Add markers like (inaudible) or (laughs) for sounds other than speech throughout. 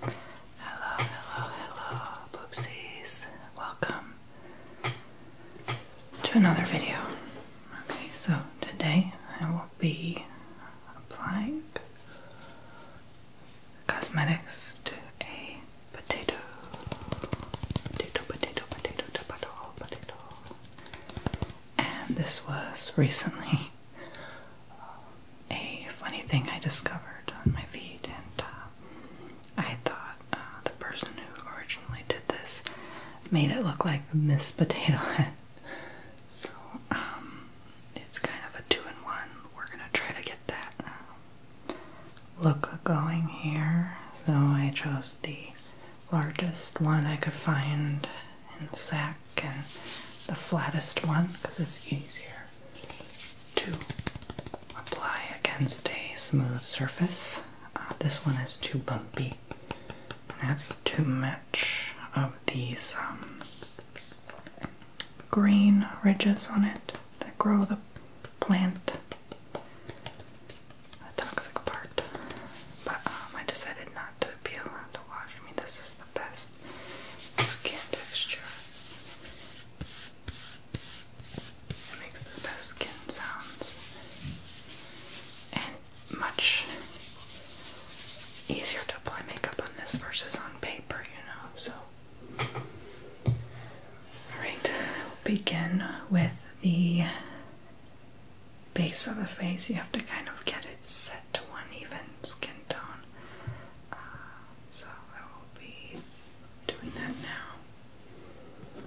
Hello, hello, hello, boopsies. Welcome to another video. Okay, so today I will be applying cosmetics to a potato. Potato, potato, potato, potato, potato. And this was recently a funny thing I discovered on my feet, and uh, I thought uh, the person who originally did this made it look like Miss Potato Head. (laughs) So, um, it's kind of a two in one. We're gonna try to get that uh, look going here. So, I chose the largest one I could find and the sack and the flattest one because it's easier to apply against a smooth surface. Uh, this one is too bumpy That's too much of these um, green ridges on it that grow the plant. The toxic part, but um, I decided not to peel and to wash. I mean, this is the best skin texture. It makes the best skin sounds and much easier to apply makeup on this versus on paper, you know. So, alright, we'll begin with the base of the face. You have to kind of get it set to one even skin tone. Uh, so I will be doing that now.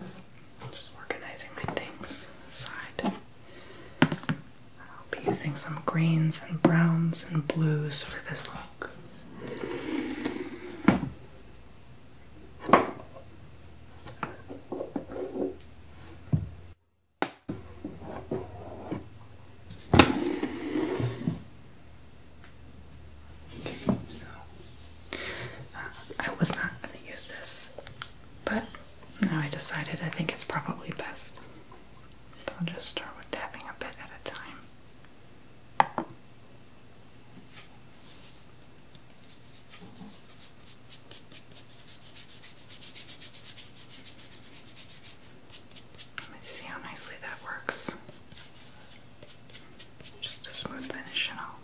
Just organizing my things aside. I'll be using some greens and browns and blues for this look. I was not going to use this, but now I decided I think it's probably best. I'll just start with tapping a bit at a time. Let me see how nicely that works. Just a smooth finish and all.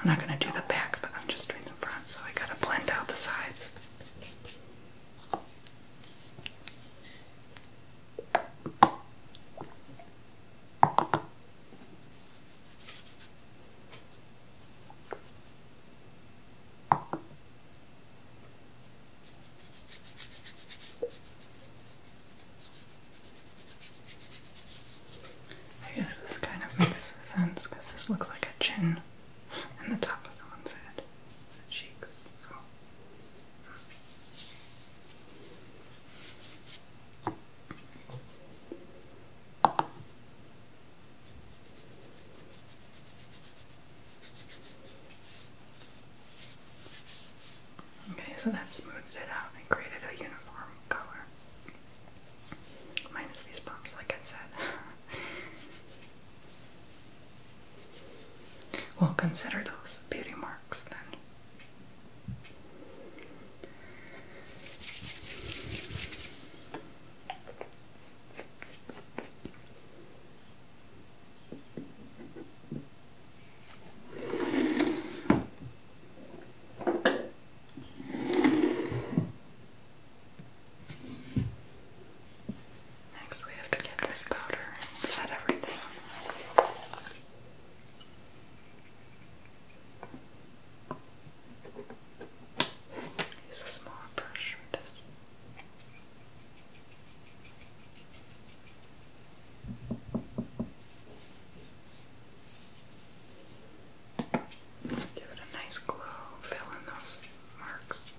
I'm not gonna do the back, but I'm just doing the front, so I gotta blend out the sides. I guess this kind of makes sense because this looks like a chin and the top of someone's head, the cheeks. So. Okay, so that smoothed it out and created a uniform color. Minus these bumps, like I said. (laughs) we'll consider those beauty marks then. Next, we have to get this powder and set everything. Use a smaller brush Give it a nice glow, fill in those marks.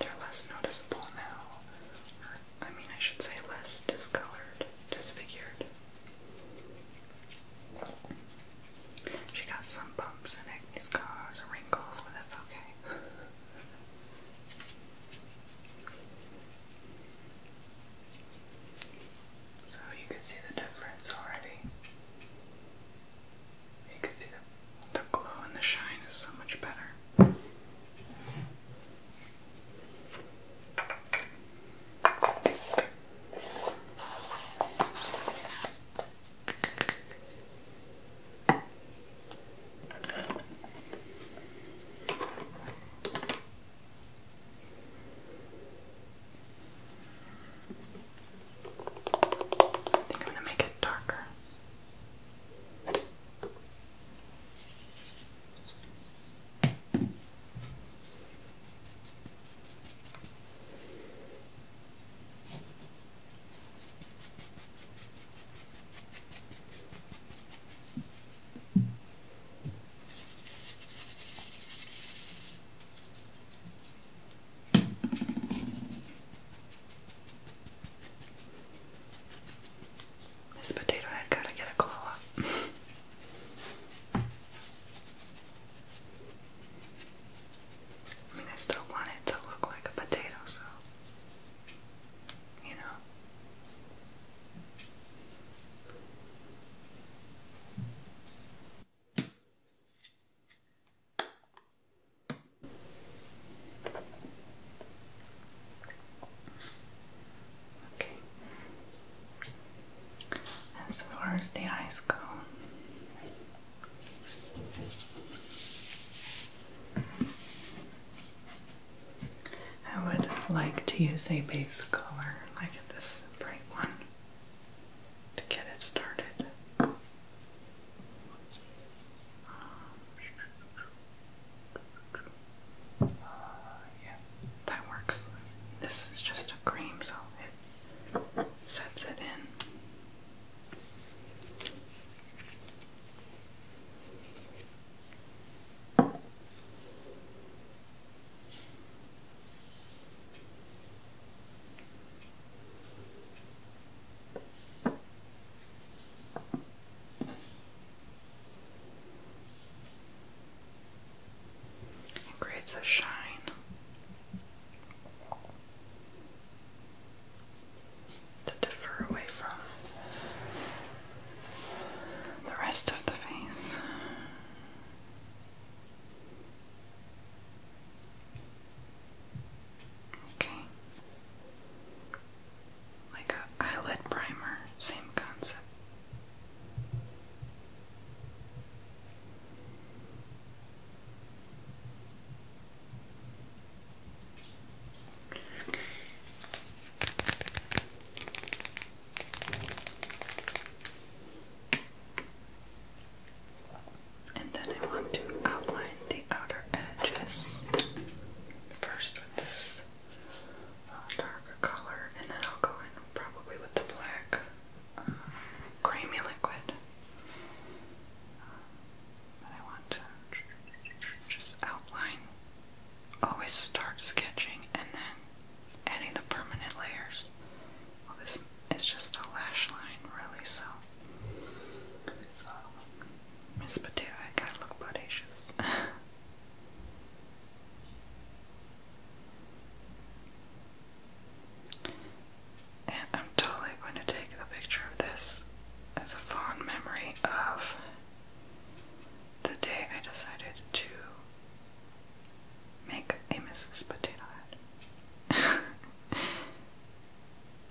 They're less noticeable now. I mean, I should say less discolored, disfigured. She got some bumps and acne scars and wrinkles, but that's okay. (laughs) So you can see the difference already. You can see the, the glow and the shine is so much better. I think I'm going to make it darker. This potato head gotta get a glow up. I mean, I still want it to look like a potato, so you know. Okay. As far as the eyes go. I would like to use a base color like this bright one to get it started. Uh, yeah, that works. This is just a cream, so it sets it in creates a shine. To differ away from the rest of the face. Okay. Like a eyelid primer, same concept and then I want to outline the outer edges first with this uh, darker color, and then I'll go in probably with the black uh, creamy liquid. and I want to just outline. Always start sketching and then adding the permanent layers. Well, this is just a lash line, really, so um, Miss Potato, I look bodacious. (laughs) and I'm totally going to take a picture of this as a fond memory of the day I decided to make a Mrs. Potato Head. (laughs)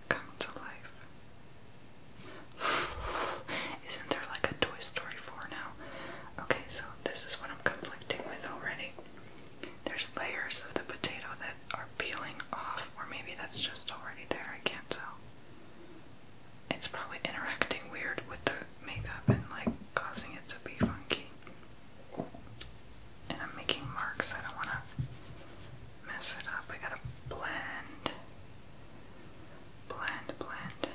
come to life. (laughs) Isn't there like a Toy Story 4 now? Okay, so this is what I'm conflicting with already. There's layers of the potato that are peeling off, or maybe that's just already there, I can't tell. It's probably interacting weird with the makeup and like causing it to be funky. And I'm making marks, I don't wanna mess it up. I gotta blend. Blend, blend.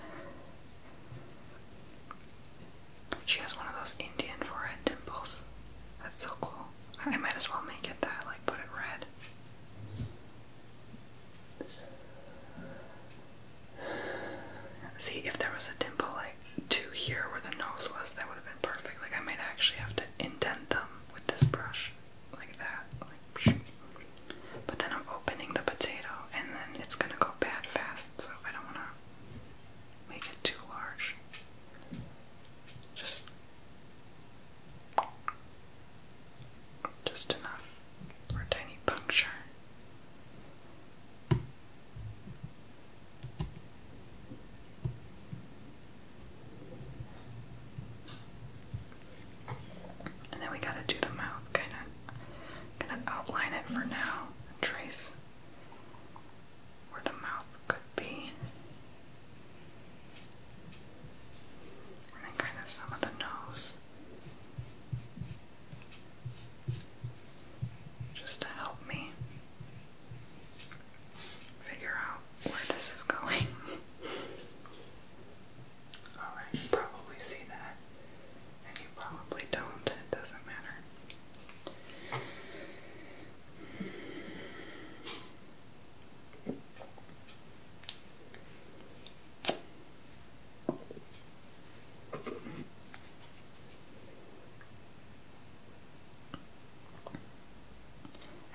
She has one of those Indian forehead dimples. That's so cool. I might as well make it that, like put it red. See, if there was a dimple like two here where the nose was, that would have been perfect. Like I might actually have to indent them with this brush like that, But then I'm opening the potato, and then it's gonna go bad fast, so I don't wanna make it too large. Just, just enough for a tiny puncture. And then we gotta do the mouth, kinda gonna outline it for now trace where the mouth could be. And then kinda some of the nose. Just to help me figure out where this is going. (laughs) Alright, you probably see that, and you probably don't, it doesn't matter.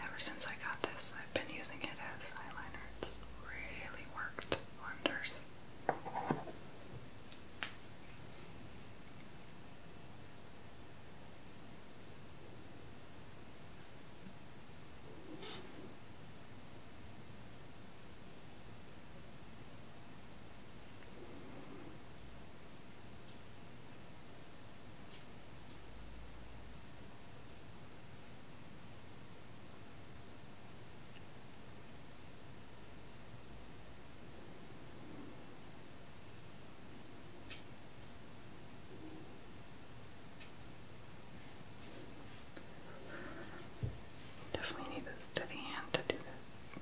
Ever since I got this, I've been using it as eyeliner. It's really worked wonders. Definitely need a steady hand to do this.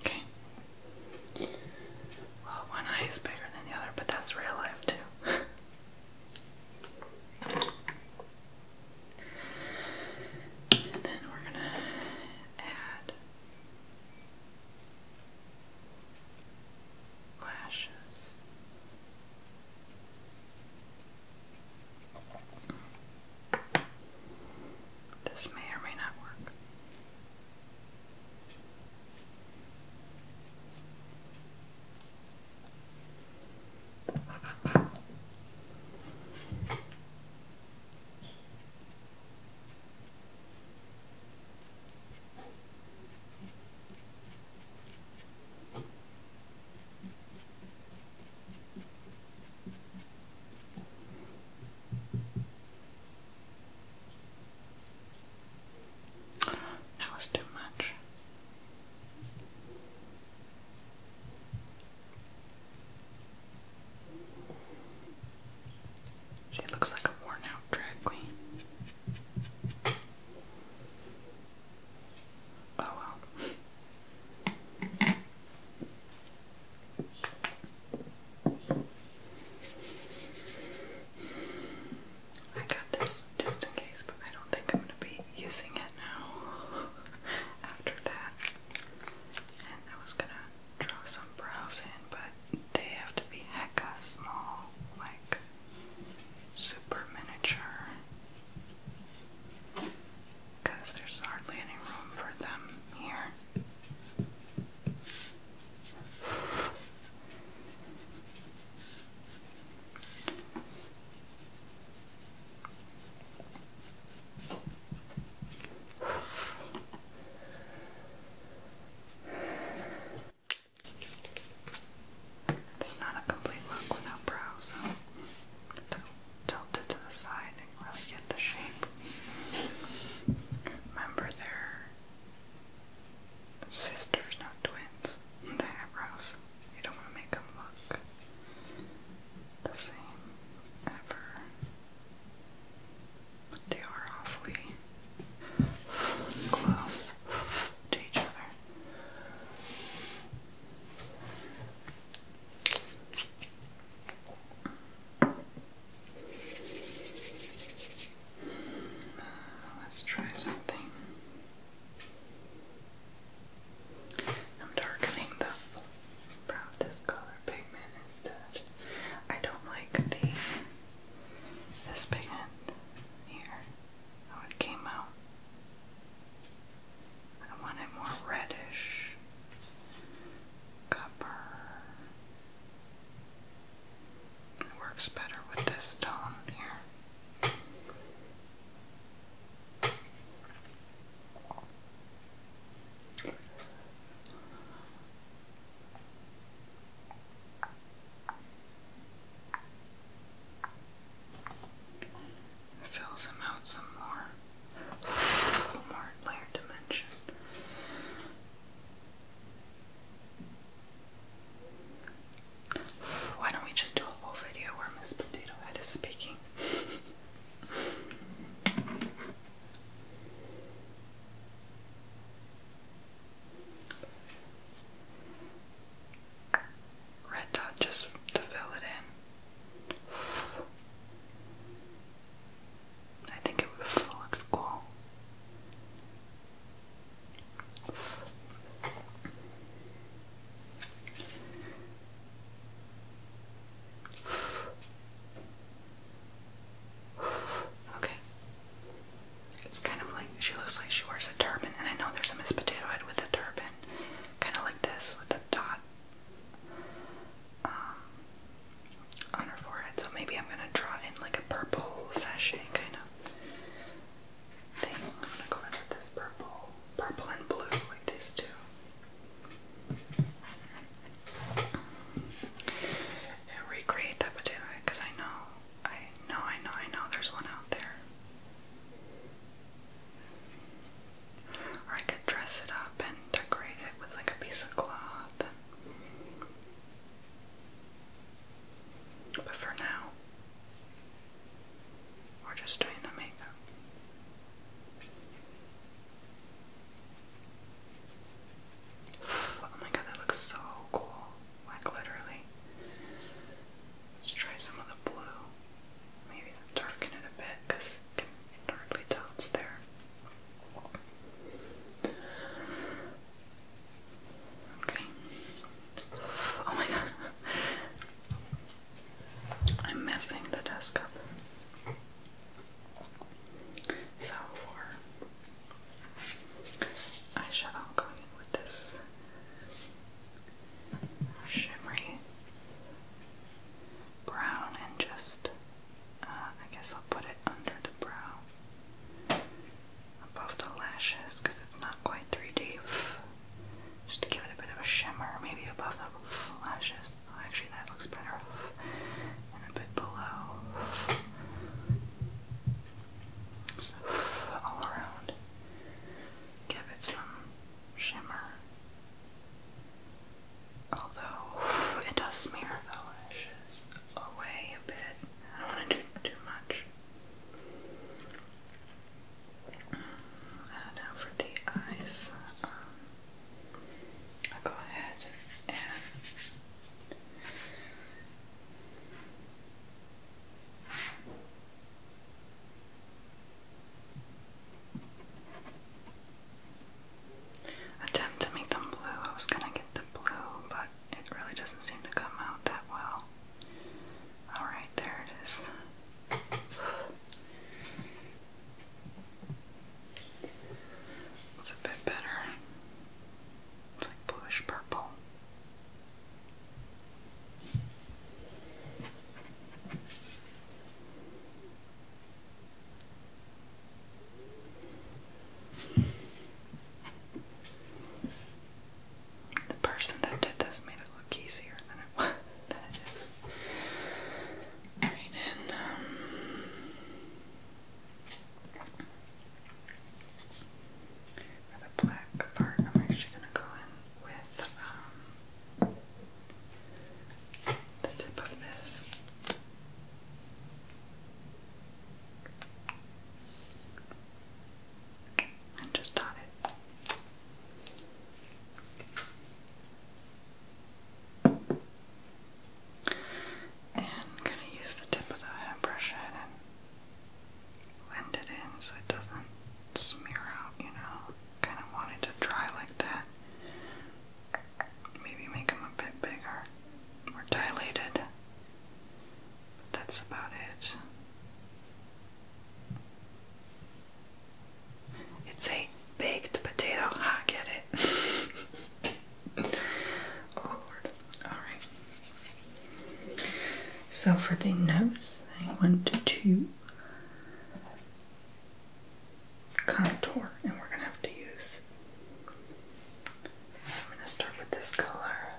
Okay. Well, one eye is bigger than the other, but that's real life too. then we're gonna add lashes. This may or may not work. That was too much. She looks like a worn out drag queen. Oh well. I got this just in case, but I don't think I'm going to be using it now (laughs) after that. And I was going to draw some brows in, but they have to be hecka small, like super miniature, because there's hardly any room for them here. It's not a complete look without brows, so tilted to the side i not really get the shape. Remember, they're sisters, not twins. The eyebrows. You don't want to make them look the same ever. But they are awfully close to each other. Let's try something. I'm darkening the brown color pigment instead. I don't like the this pigment here. How it came out. I want it more reddish. Copper. It works better with this tone here. fills him out some more, (sighs) more layer dimension. Why don't we just do a whole video where Miss Potato Head is speaking? Red dot just to fill it in. I think it would cool. Okay. It's kind of like she looks like she wears a turban, and I know there's a Miss Potato Head with a turban, kind of like this with a dot. Um, on her forehead. So maybe I'm gonna draw in like a purple sachet kind of thing. I'm gonna go in with this purple, purple and blue, like these two. And recreate that potato because I know, I know, I know, I know there's one out there. Or I could dress it up and decorate it with like a piece of cloth. But for now, we're just doing the makeup. (sighs) Oh my god, that looks so cool. Like, literally. Let's try some of the blue. Maybe darken it a bit because you can hardly tell there. Okay. Oh my god. I'm messing the desk up. So for eyeshadow, I'm going in with this shimmery brown and just uh, I guess I'll put it under the brow, above the lashes, it's not quite 3D, just to give it a bit of a shimmer, maybe above the lashes, actually that looks better, and a bit below, so all around, give it some shimmer. Although (sighs) it does smear the lashes away a bit. I don't want to do too much. Uh, now for the eyes, um, i go ahead and attempt to make them blue. I was gonna get the blue, but it really doesn't seem to come out that well. Alright, there it is. It's a bit better. It's like bluish purple. The person that did this made it look easier than it was (laughs) than it is. Right and um, for the black part I'm actually gonna go in with um, the tip of this and just dot it. And I'm going to use the tip of the hairbrush head and blend it in so it doesn't smear out, you know. Kind of want it to dry like that maybe make them a bit bigger or dilated. that's about it. It's a baked potato. I get it. (laughs) oh Lord. Alright. So for the nose, I want to contour and we're gonna have to use I'm gonna start with this color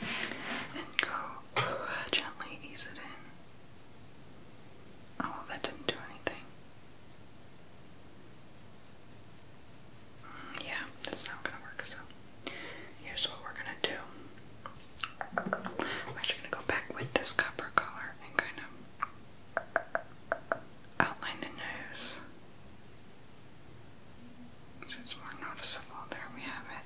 and go gently ease it in. Oh, that didn't do anything. Mm, yeah, that's not gonna work. So, here's what we're gonna do. I'm actually gonna go back with this copper color and kind of outline the nose. So it's more noticeable. There we have it.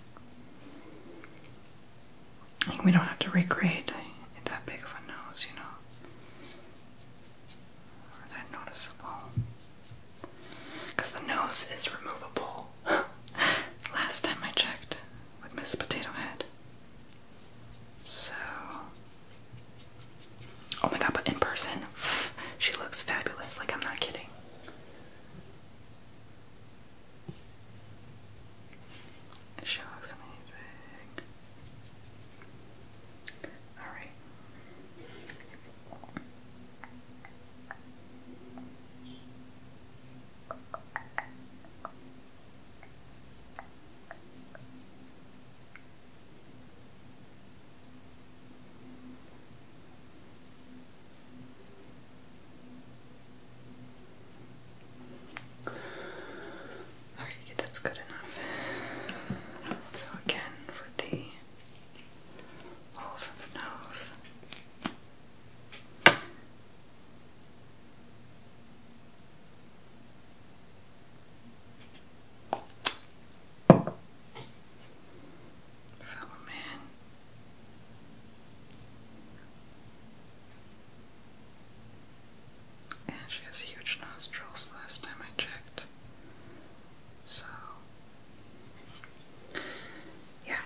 we don't have to recreate that big of a nose, you know. Or that noticeable. Because the nose is removable. (laughs) Last time I checked with Miss Potato Head. So, oh my god, but in person, (laughs) she looks fabulous. Like, I'm not kidding. She looks amazing. Alright. Alright, that's good enough. So again, for the holes of the nose. Fellow man. And she has huge nostrils last time I checked. So, yeah.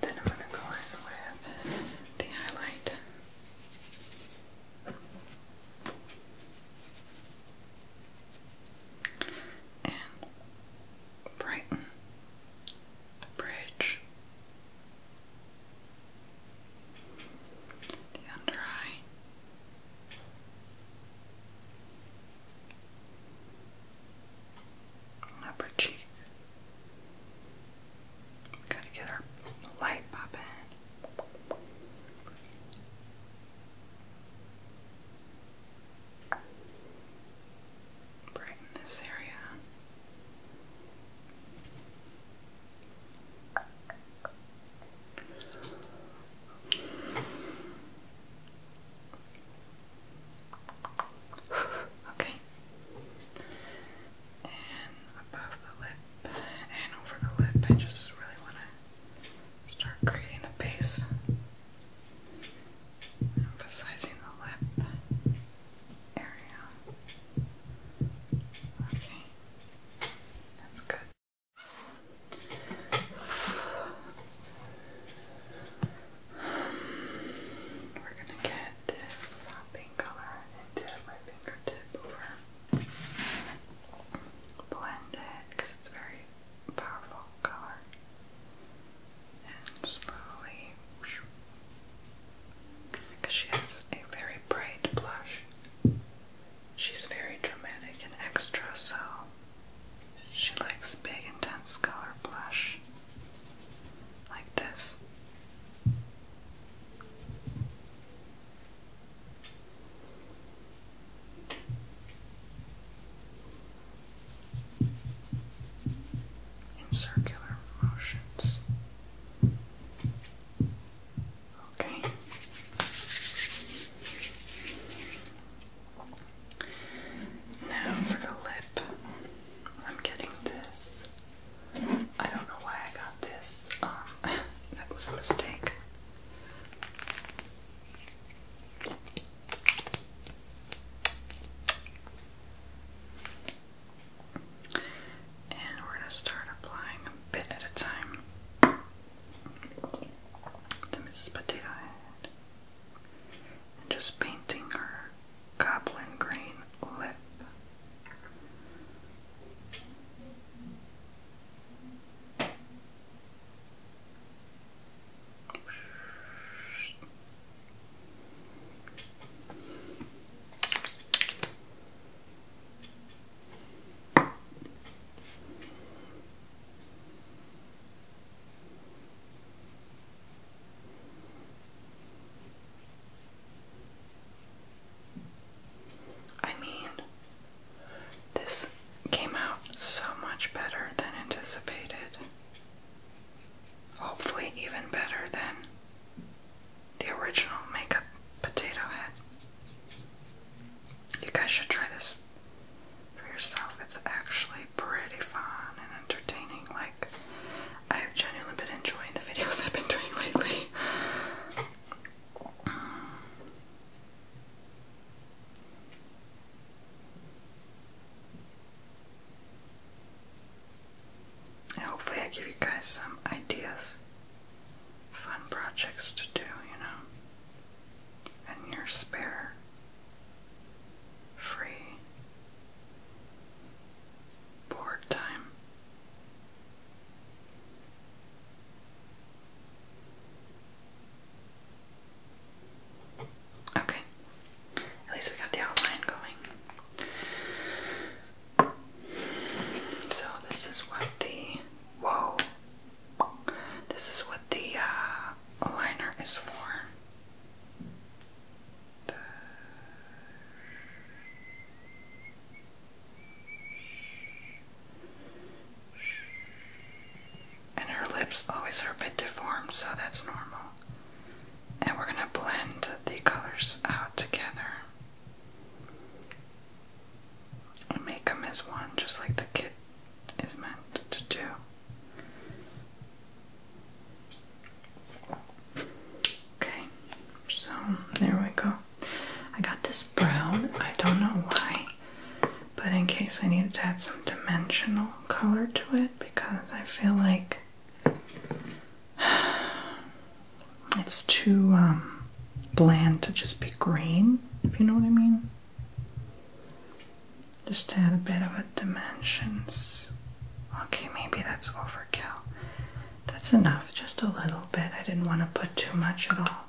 Then I'm going to go in with the highlight. And brighten the bridge, the under eye, upper cheek. Gotta get our light poppin'. Brighten this area. (sighs) okay. And above the lip and over the lip, I just really want to start creating the base, emphasizing the lip area. Okay, that's good. We're gonna get this pink color and dip my fingertip over. Blend it because it's very powerful color. And slowly, because she has a very bright blush. She's very dramatic and extra, so she likes big, intense color blush like this. In circular motions. Okay. Now for the lip, I'm getting this I don't know why I got this. Um, (laughs) that was a mistake. And we're going to start applying a bit at a time to Mrs. Potato Head. just painting her goblin green lip. I mean, this came out so much better than anticipated. Hopefully, even better than the original makeup potato head. You guys should try this for yourself. It's actually pretty fun and entertaining. Like, I've genuinely been enjoying the videos I've been doing lately. hopefully, I give you guys some ideas, fun projects to do, you know, in your spare, free board time. Okay, at least we got the outline going. So this is what the whoa. This is what the uh, liner is for. And her lips always are a bit deformed, so that's normal. And we're going to blend the colors out together and make them as one, just like the kit is meant to do. Okay, so there we go. I got this brown, I don't know why, but in case I need to add some dimensional color to it because I feel like (sighs) it's too um, bland to just be green, if you know what I mean. Just add a bit of a dimensions. Okay, maybe that's over that's enough, just a little bit. I didn't want to put too much at all.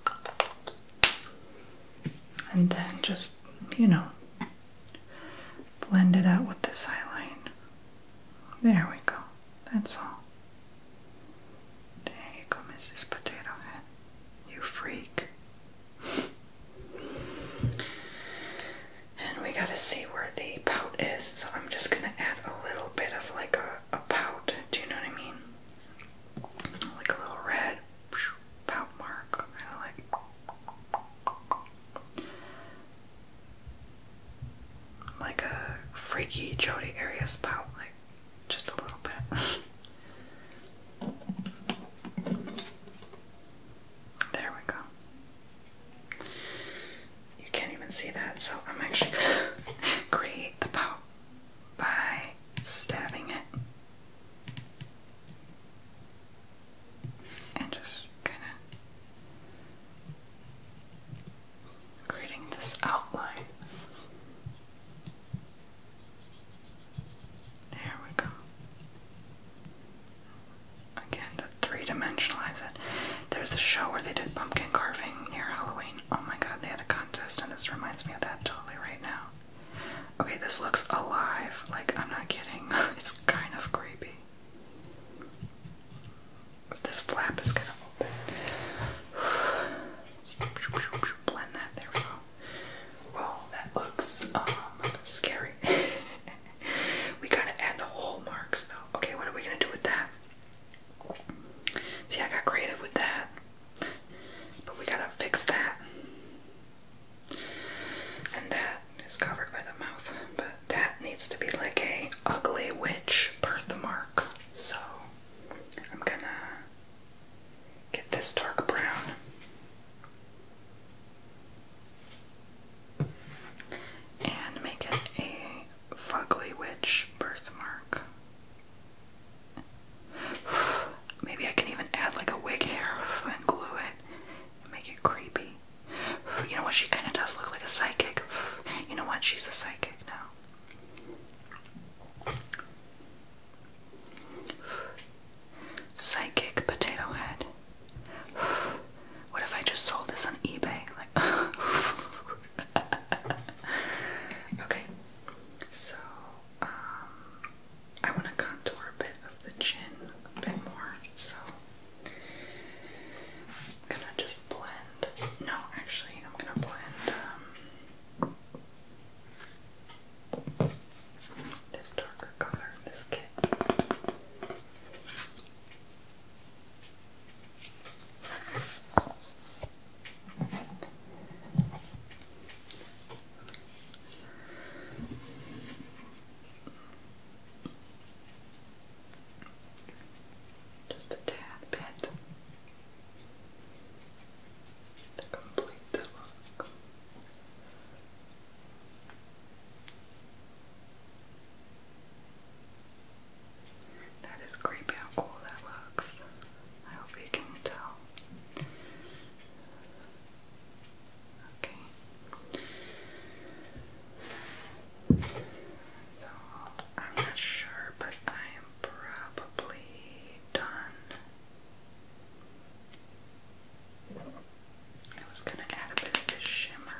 And then just, you know, blend it out with the eyeliner. There we go. That's all. There you go, Mrs. Potato Head. You freak and we gotta see where the pout is, so I'm just gonna add a little bit of like a, a pout, do you know what I mean? Like a little red pout mark, kinda like like a freaky Jody area spout, like just a little bit. (laughs) there we go. You can't even see that, so I'm actually gonna (laughs) create the pout by stabbing it and just kind of creating this outline. There we go. Again, to three-dimensionalize it. There's a show where they did pumpkin carving near Halloween. Oh my god, they had a contest, and this reminds me of that totally right now. Okay, this looks alive. Like, I'm not kidding. (laughs) it's kind of creepy. This flap is gonna open. (sighs) Blend that, there we go. Well, that looks um, scary. (laughs) we gotta add the whole marks though. Okay, what are we gonna do with that? See, I got creative with that. But we gotta fix that. And that is covered by the mouth. But that needs to be like a ugly witch birthmark. So I'm gonna get this dark brown. And make it a Fugly Witch birthmark. (sighs) Maybe I can even add like a wig hair (laughs) and glue it and make it creepy. (sighs) You know what? She kind of does look like a psychic. (sighs) You know what? She's a psychic now. Psychic potato head. What if I just sold this on eBay? (laughs) okay. So, um, I want to contour a bit of the chin a bit more. So, gonna just blend. No, actually, I'm gonna blend um, this darker color, this kit. Just a tad bit to complete the look. That is creepy how cool that looks. I hope you can tell. Okay. So, I'm not sure, but I am probably done. I was gonna add a bit of shimmer.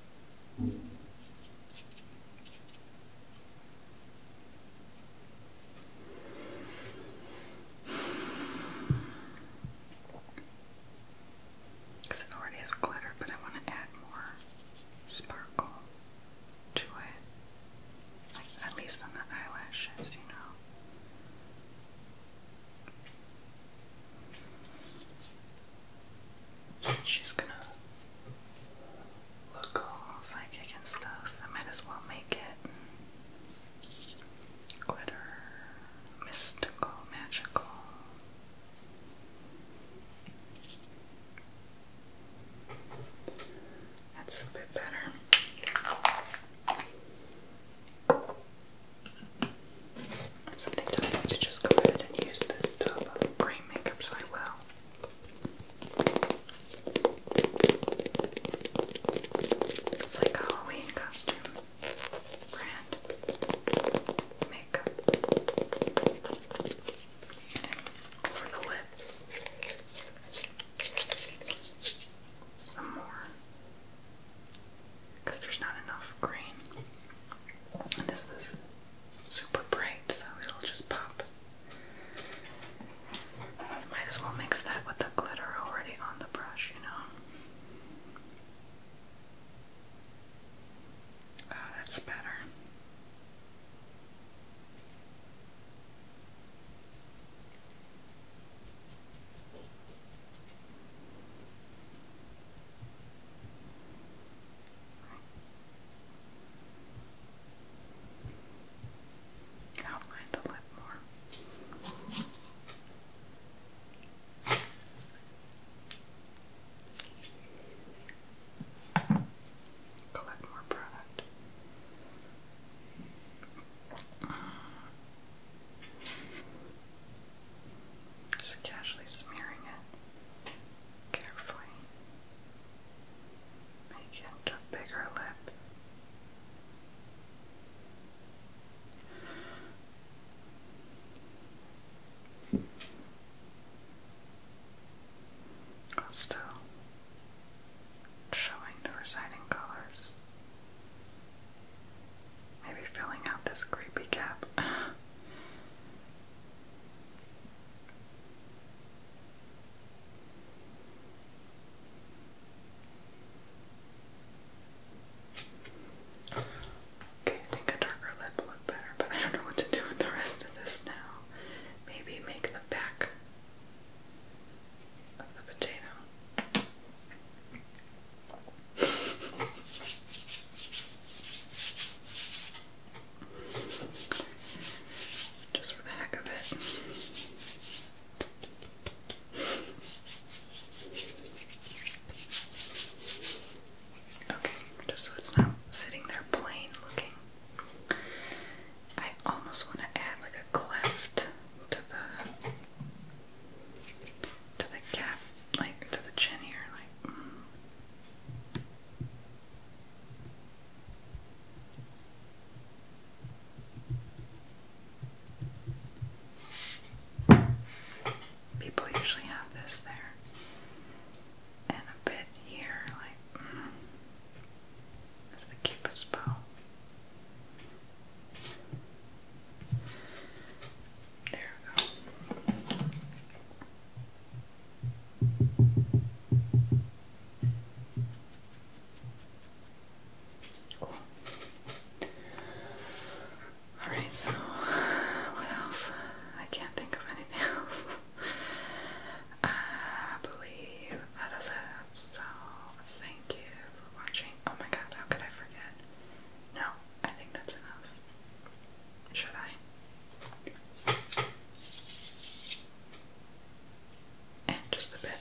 Because it already has glitter, but I want to add more sparkle to it, like at least on the eyelashes, you know. She's gonna look all psychic and stuff. I might as well make it glitter, mystical, magical. That's a bit better. And sometimes I like to just go ahead and use this tub of cream makeup so I will. It's like Halloween costume brand makeup. for the lips, some more because there's not enough green. And this is super bright, so it'll just pop. Might as well mix that with the glitter already on the brush, you know. Oh, that's better. Outline the lip more. Collect more product. Just casually smearing it carefully. Make a bigger lip. still showing the residing colors. Maybe filling out this creepy gap. (sighs) Okay, I think a darker lip looked better, but I don't know what to do with the rest of this now. Maybe make the back of the potato just for the heck of it. Okay, just so it's not sitting there plain looking. I almost want to add like a cleft to the to the cap, like to the chin here, like mm. People usually have this there and a bit here, like mm, the cupid's bow. There we go. Alright, so what else? I can't think of anything (laughs) else. I believe that is it. So thank you for watching. Oh my god, how could I forget? No, I think that's enough. Should I? And eh, just a bit.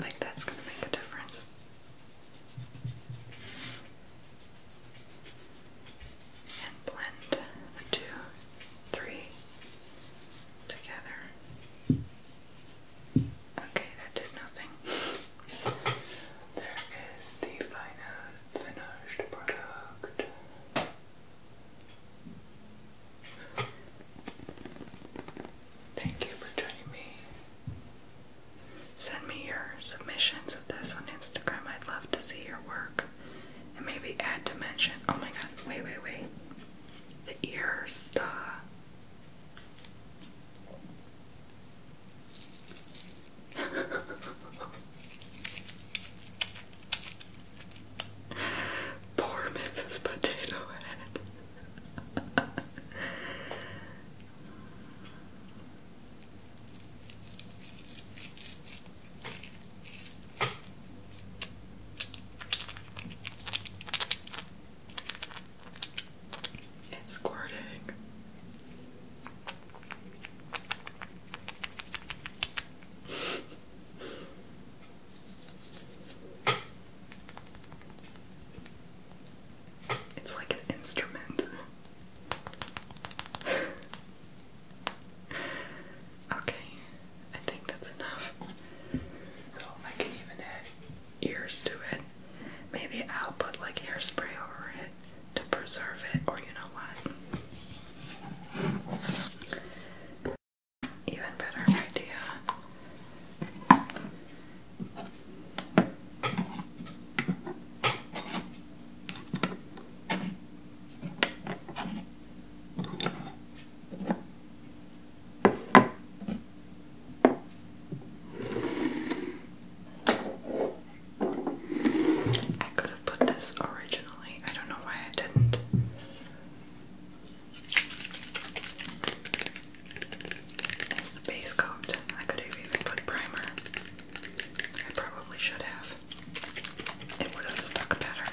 Like that's going to make a difference. And blend the two three together. Okay, that did nothing. There is the final finished product. Thank you for joining me. Send me your submissions of this on Instagram. I'd love to see your work and maybe add dimension. Oh my god, wait, wait, wait. The ears, duh. (laughs) Poor Mrs. Potato Head. (laughs) It's squirting. it's like an instrument. (laughs) Okay, I think that's enough. So I can even add ears to it. Maybe I'll put like hairspray over it to preserve it, or you know what? Even better idea. I could have put this originally. I don't know why I didn't. As the base coat, I could have even put primer. I probably should have. It would have stuck better.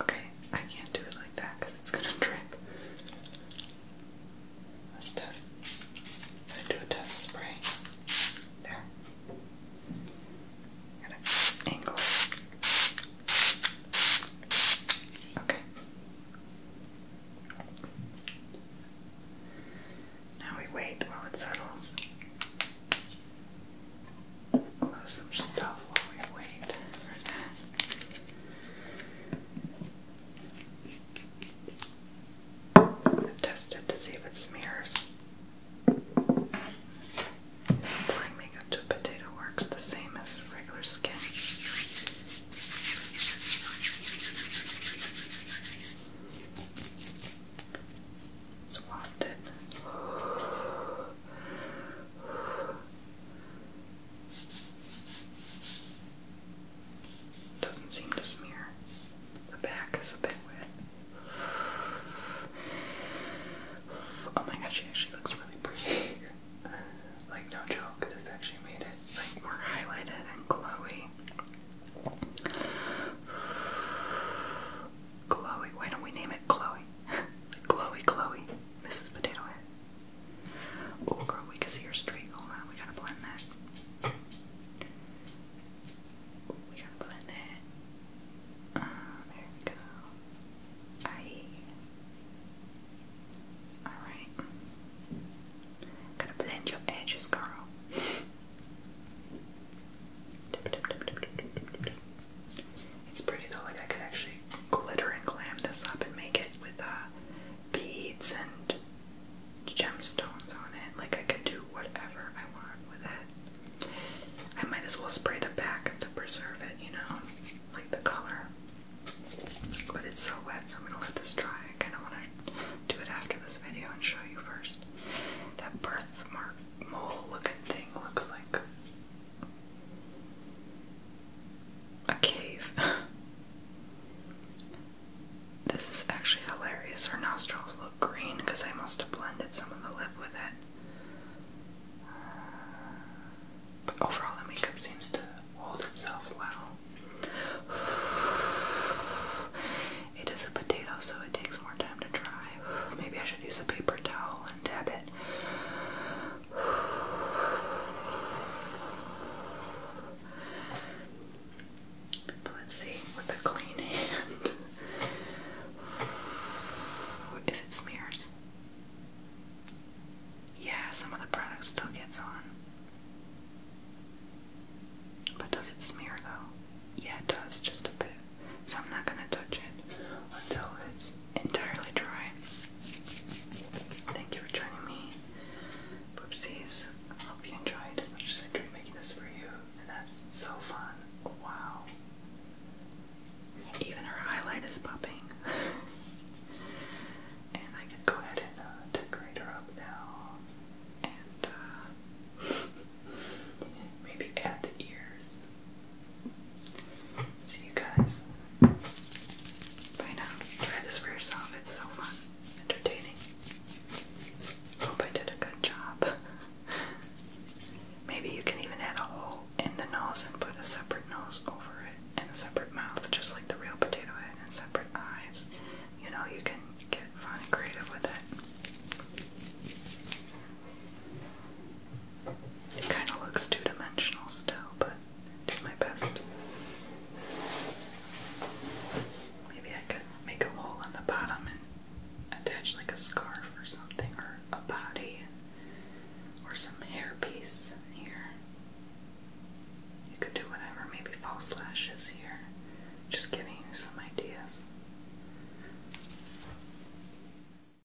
Okay, I can't do it like that because it's gonna drip. Let's test. do a test spray. There. Gotta angle. Okay. Now we wait while it settles. Love some stuff while we wait for to see if it smears. Applying makeup to potato works the same as regular skin. It's wafted. Doesn't seem to smear. The back is a bit wet. Oh my gosh, she actually looks really pretty. like no joke, this actually made it like more highlighted and glowy. Chloe. Why don't we name it Chloe? (laughs) Chloe, Chloe, Mrs. Potato Head. Oh, girl, we can see her streak. Hold on, we gotta blend that. We gotta blend that. Ah, there we go. Alright. Gotta blend your edges, girl. It's pretty though, like I could actually glitter and glam this up and make it with uh, beads and gemstones on it. Like I could do whatever I want with it. I might as well spray the back to preserve it, you know, like the color. But it's so wet, so I'm gonna let this dry. I kinda wanna do it after this video and show you first. That birthmark mole looking thing looks like a cave. (laughs) this is actually hilarious. Her nostrils look green because I must have blended some of the lip with it. but overall, the makeup seems to hold itself well. (sighs) It is a potato, so it takes more time to dry. (sighs) Maybe I should use a paper towel and dab it. But let's see with a clean hand if it smears. Yeah, some of the product still gets on. But does it smear though? Yeah, it does, just a bit so I'm not gonna touch it until it's entirely dry. Thank you for joining me, Boopsies. I hope you enjoyed as much as I enjoyed making this for you, and that's so fun. Wow. Even her highlight is popping. (laughs) and I can go ahead and uh, decorate her up now. And uh, (laughs) maybe add the ears. See you guys. Bye now. Try this for yourself. It's so fun, entertaining. Hope I did a good job. (laughs) Maybe you can even add a hole in the nose and put a separate nose over it and a separate mouth, just like the real potato head, and separate eyes. You know, you can get fun and creative with it. It kind of looks two dimensional still, but I did my best. Maybe I could make a hole on the bottom and attach like a scarf or something, or a body, or some hairpiece here. You could do whatever, maybe false lashes here. Just giving you some ideas.